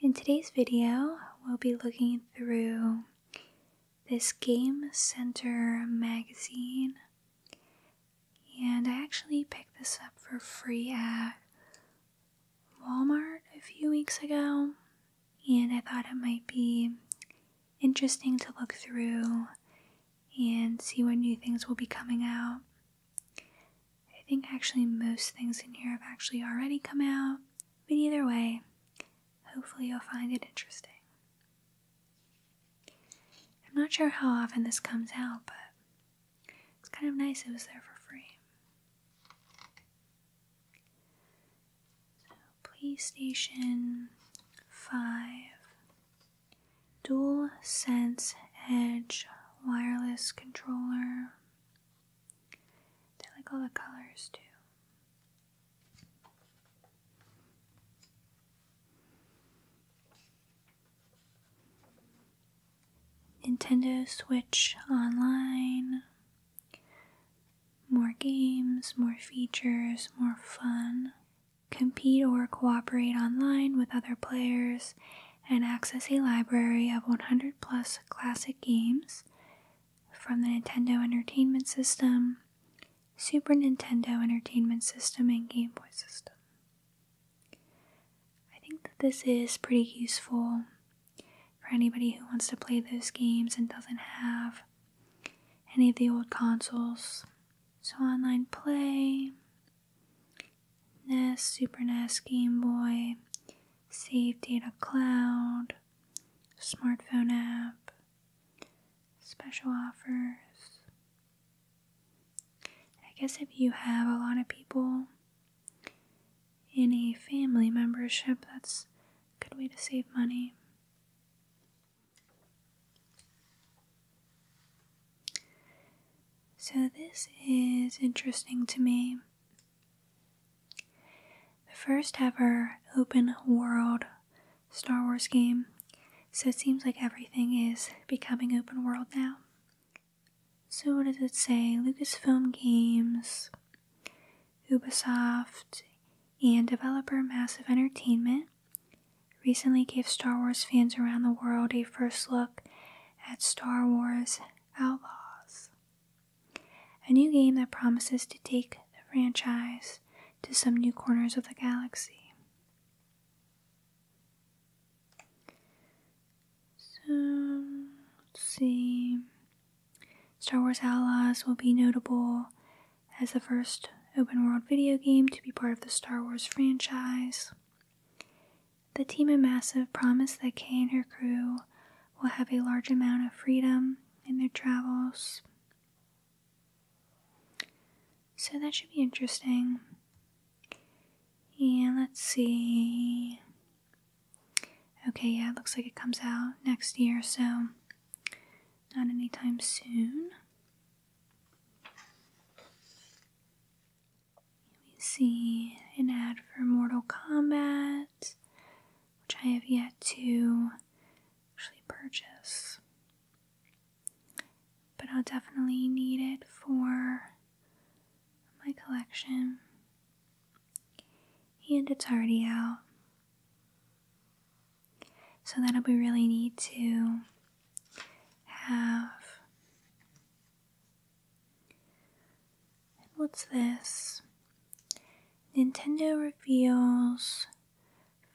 In today's video, we'll be looking through this Game Center magazine. And I actually picked this up for free at Walmart a few weeks ago. And I thought it might be interesting to look through and see what new things will be coming out. I think actually most things in here have actually already come out, but either way, hopefully you'll find it interesting. I'm not sure how often this comes out, but it's kind of nice it was there for free. PlayStation 5 Dual Sense Edge wireless controller. They like all the colors too. Nintendo Switch Online. More games, more features, more fun. Compete or cooperate online with other players and access a library of 100 plus classic games from the Nintendo Entertainment System, Super Nintendo Entertainment System, and Game Boy System. I think that this is pretty useful for anybody who wants to play those games and doesn't have any of the old consoles. So, online play, NES, Super NES, Game Boy, Save Data Cloud, Smartphone App, Special Offers. I guess if you have a lot of people any family membership, that's a good way to save money. So, this is interesting to me. The first ever open world Star Wars game, so it seems like everything is becoming open world now. So, what does it say? Lucasfilm Games, Ubisoft, and developer Massive Entertainment recently gave Star Wars fans around the world a first look at Star Wars Outlaws, a new game that promises to take the franchise to some new corners of the galaxy. So, let's see. Star Wars Outlaws will be notable as the first open world video game to be part of the Star Wars franchise. The team at Massive promised that Kay and her crew will have a large amount of freedom in their travels. So that should be interesting. Yeah, let's see. Okay, yeah, it looks like it comes out next year, so not anytime soon. We see an ad for Mortal Kombat, which I have yet to actually purchase. But I'll definitely need it for my collection. And it's already out. So that'll be really neat to have and what's this? Nintendo reveals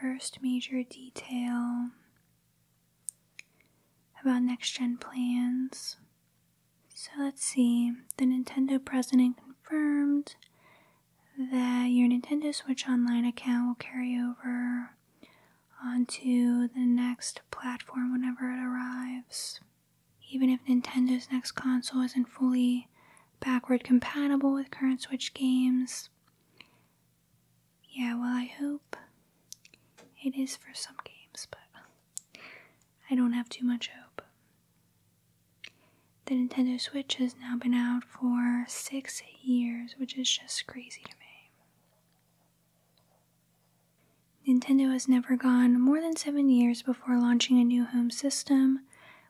first major detail about next gen plans. So let's see. The Nintendo president confirmed that your Nintendo Switch Online account will carry over onto the next platform whenever it arrives. Even if Nintendo's next console isn't fully backward compatible with current Switch games. Yeah, well, I hope it is for some games, but I don't have too much hope. The Nintendo Switch has now been out for six years, which is just crazy to me. Nintendo has never gone more than seven years before launching a new home system,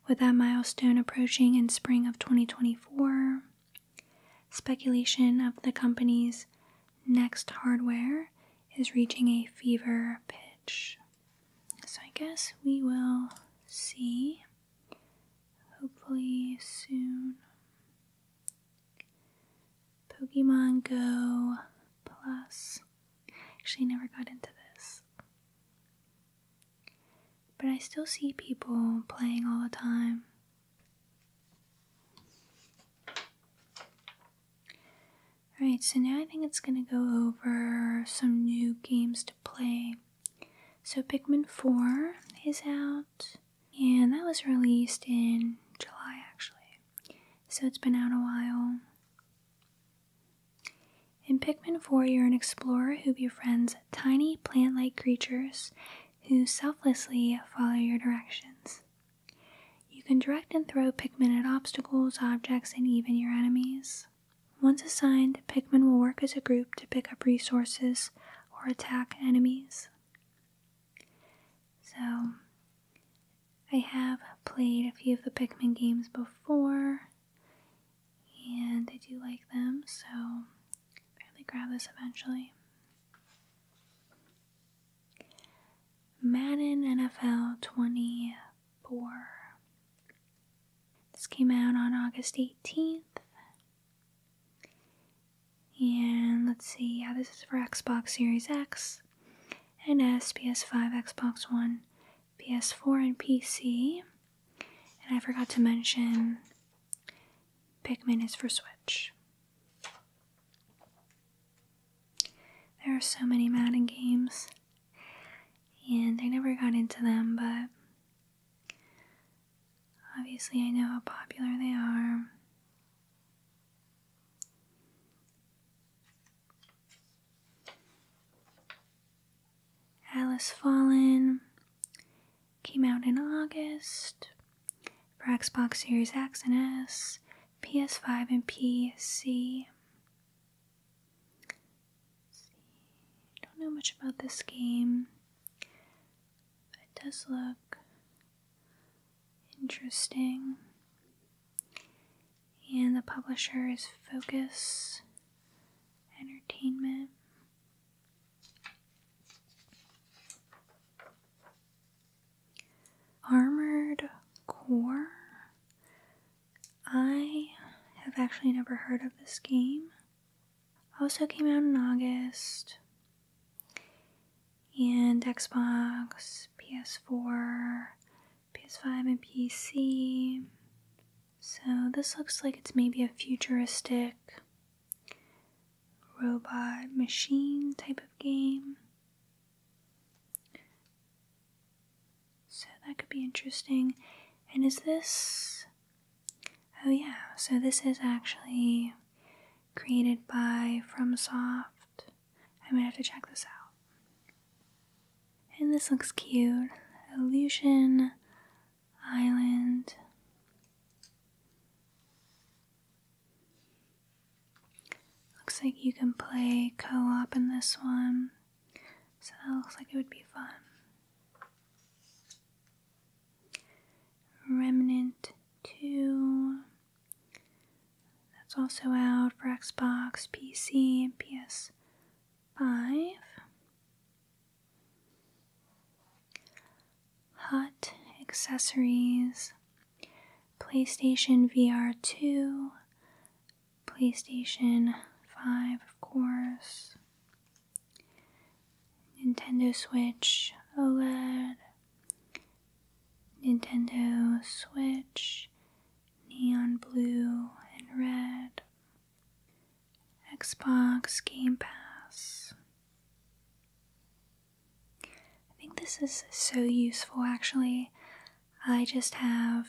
with that milestone approaching in spring of 2024. Speculation of the company's next hardware is reaching a fever pitch. So I guess we will see hopefully soon. Pokemon Go Plus. Actually, never got into this. But I still see people playing all the time. Alright, so now I think it's going to go over some new games to play. So, Pikmin 4 is out, and that was released in July actually so it's been out a while. In Pikmin 4, you're an explorer who befriends tiny plant like creatures who selflessly follow your directions. You can direct and throw Pikmin at obstacles, objects, and even your enemies. Once assigned, Pikmin will work as a group to pick up resources or attack enemies. So, I have played a few of the Pikmin games before, and I do like them, so I'll probably grab this eventually. Madden NFL 24. This came out on August 18th. And let's see, yeah, this is for Xbox Series X. NS, PS5, Xbox One, PS4, and PC. And I forgot to mention Pikmin is for Switch. There are so many Madden games, and I never got into them, but obviously I know how popular they are. Alice Fallen came out in August for Xbox Series X and S, PS5, and PC. Don't know much about this game, but it does look Interesting. And the publisher is Focus Entertainment. Armored Core? I have actually never heard of this game. Also came out in August and Xbox, PS4, PS5, and PC. So this looks like it's maybe a futuristic robot machine type of game. So that could be interesting. And is this. Oh, yeah, so this is actually created by FromSoft. I might have to check this out. And this looks cute. Illusion Island. Looks like you can play co op in this one. So that looks like it would be fun. Remnant 2. That's also out for Xbox, PC, and PS5. Hot accessories, PlayStation VR 2, PlayStation 5, of course, Nintendo Switch OLED, Nintendo Switch, neon blue and red, Xbox Game Pass. I think this is so useful actually. I just have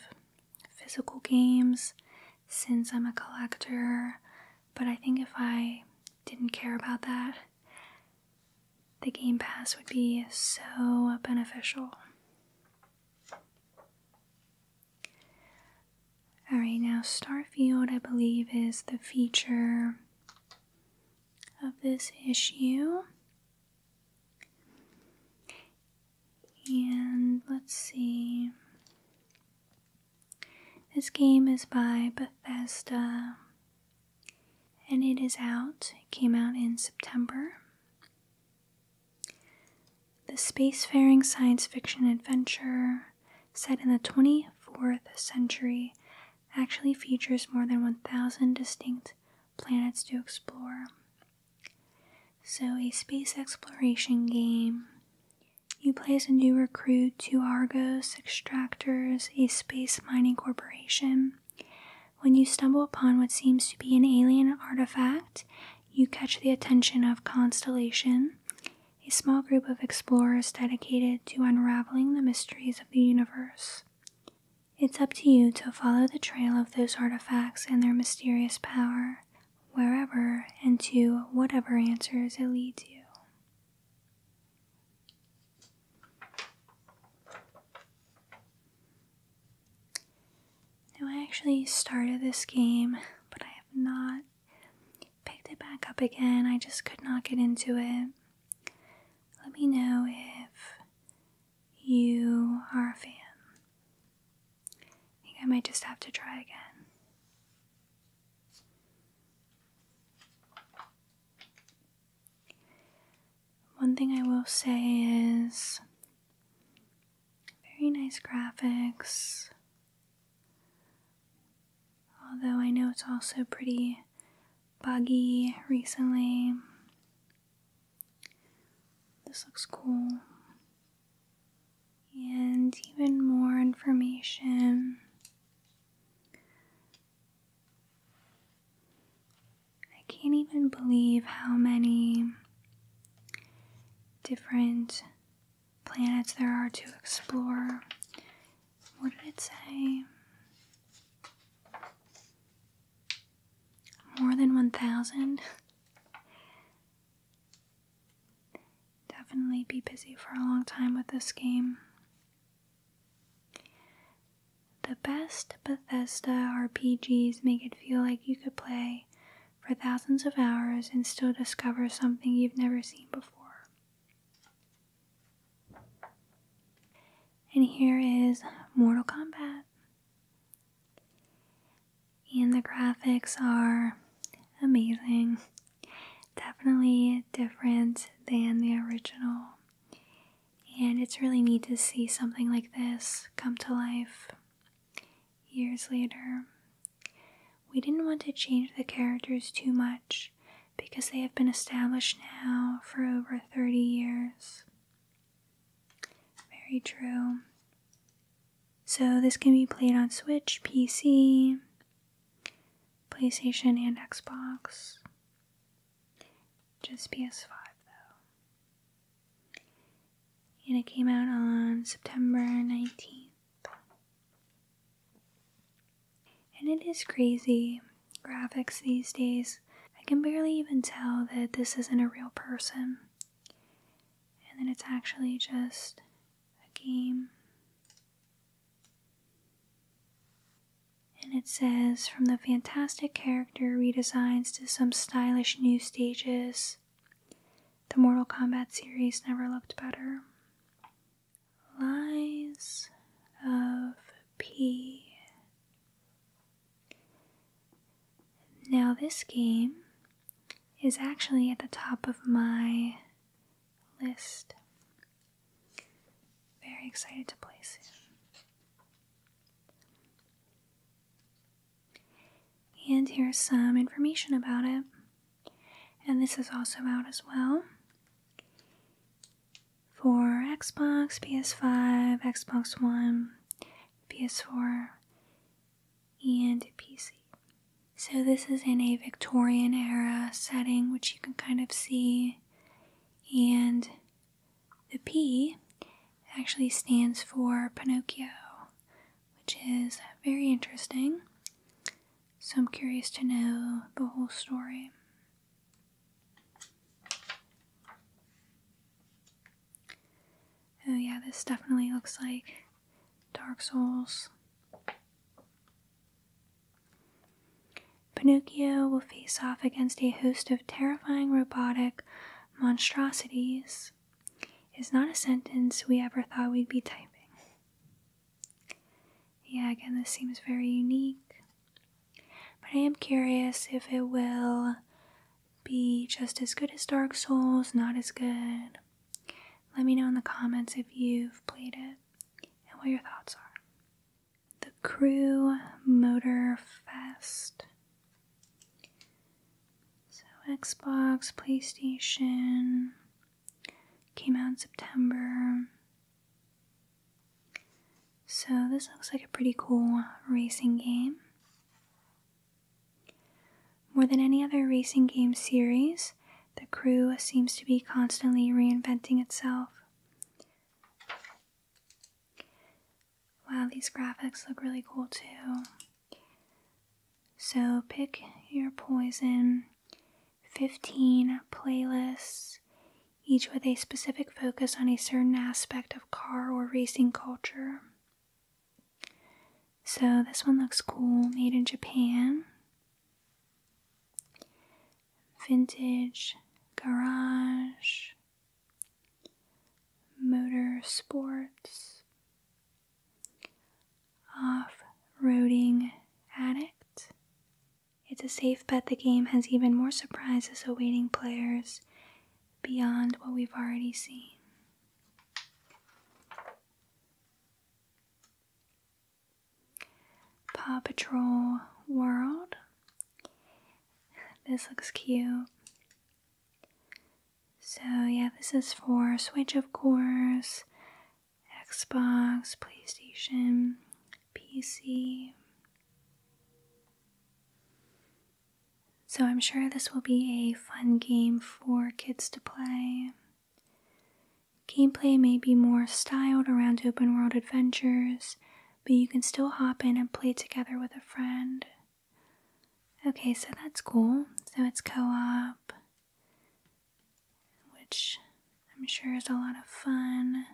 physical games since I'm a collector, but I think if I didn't care about that, the Game Pass would be so beneficial. Alright, now Starfield, I believe, is the feature of this issue. And let's see. This game is by Bethesda and it is out. It came out in September. The spacefaring science fiction adventure, set in the 24th century, actually features more than 1,000 distinct planets to explore. So, a space exploration game. You play as a new recruit to Argos Extractors, a space mining corporation, when you stumble upon what seems to be an alien artifact, you catch the attention of Constellation, a small group of explorers dedicated to unraveling the mysteries of the universe. It's up to you to follow the trail of those artifacts and their mysterious power, wherever and to whatever answers it leads you. I actually started this game, but I have not picked it back up again. I just could not get into it. Let me know if you are a fan. I think I might just have to try again. One thing I will say is very nice graphics. Although I know it's also pretty buggy recently. This looks cool. And even more information I can't even believe how many different planets there are to explore. What did it say? More than 1,000? Definitely be busy for a long time with this game. The best Bethesda RPGs make it feel like you could play for thousands of hours and still discover something you've never seen before. And here is Mortal Kombat. And the graphics are amazing. Definitely different than the original and it's really neat to see something like this come to life years later. We didn't want to change the characters too much because they have been established now for over 30 years. Very true. So, this can be played on Switch, PC, PlayStation, and Xbox. Just PS5 though and it came out on September 19th. And it is crazy graphics these days. I can barely even tell that this isn't a real person. And then it's actually just a game. And it says from the fantastic character character redesigns to some stylish new stages, the Mortal Kombat series never looked better. Lies of P. Now, this game is actually at the top of my list. Very excited to play soon. And here's some information about it. And this is also out as well for Xbox, PS5, Xbox One, PS4, and PC. So, this is in a Victorian era setting, which you can kind of see, and the P actually stands for Pinocchio, which is very interesting. So I'm curious to know the whole story. Oh, yeah, this definitely looks like Dark Souls. Pinocchio will face off against a host of terrifying robotic monstrosities is not a sentence we ever thought we'd be typing. Yeah, again, this seems very unique. But I am curious if it will be just as good as Dark Souls, not as good. Let me know in the comments if you've played it and what your thoughts are. The Crew Motor Fest so, Xbox, PlayStation came out in September. So, this looks like a pretty cool racing game. More than any other racing game series, the crew seems to be constantly reinventing itself. Wow, these graphics look really cool too. So pick your poison. 15 playlists, each with a specific focus on a certain aspect of car or racing culture. So this one looks cool, made in Japan. Vintage garage motor sports, off roading addict. It's a safe bet the game has even more surprises awaiting players beyond what we've already seen. Paw Patrol World. This looks cute. So, yeah, this is for Switch, of course, Xbox, PlayStation, PC. So, I'm sure this will be a fun game for kids to play. Gameplay may be more styled around open world adventures, but you can still hop in and play together with a friend. Okay, so that's cool. So it's co op, which I'm sure is a lot of fun.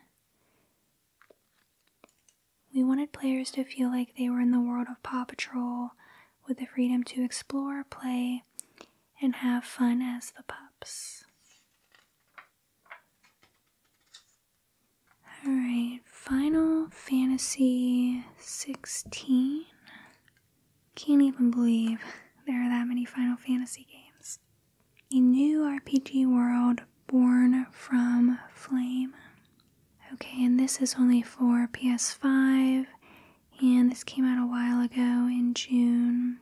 We wanted players to feel like they were in the world of Paw Patrol with the freedom to explore, play, and have fun as the pups. Alright. Final Fantasy 16. Can't even believe there are that many Final Fantasy games. A new RPG world born from flame. Okay, and this is only for PS5, and this came out a while ago in June.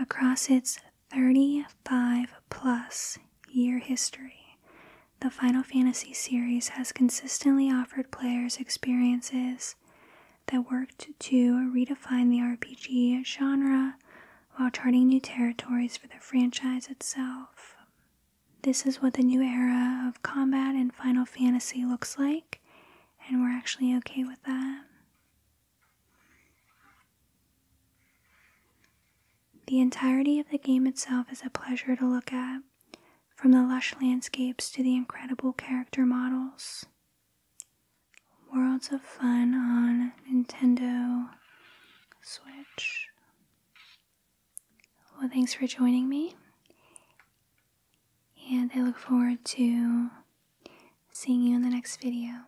Across its 35 plus year history, the Final Fantasy series has consistently offered players experiences that worked to redefine the RPG genre while charting new territories for the franchise itself. This is what the new era of combat in Final Fantasy looks like, and we're actually okay with that. The entirety of the game itself is a pleasure to look at from the lush landscapes to the incredible character models. Worlds of fun on Nintendo Switch. Well, thanks for joining me, and I look forward to seeing you in the next video.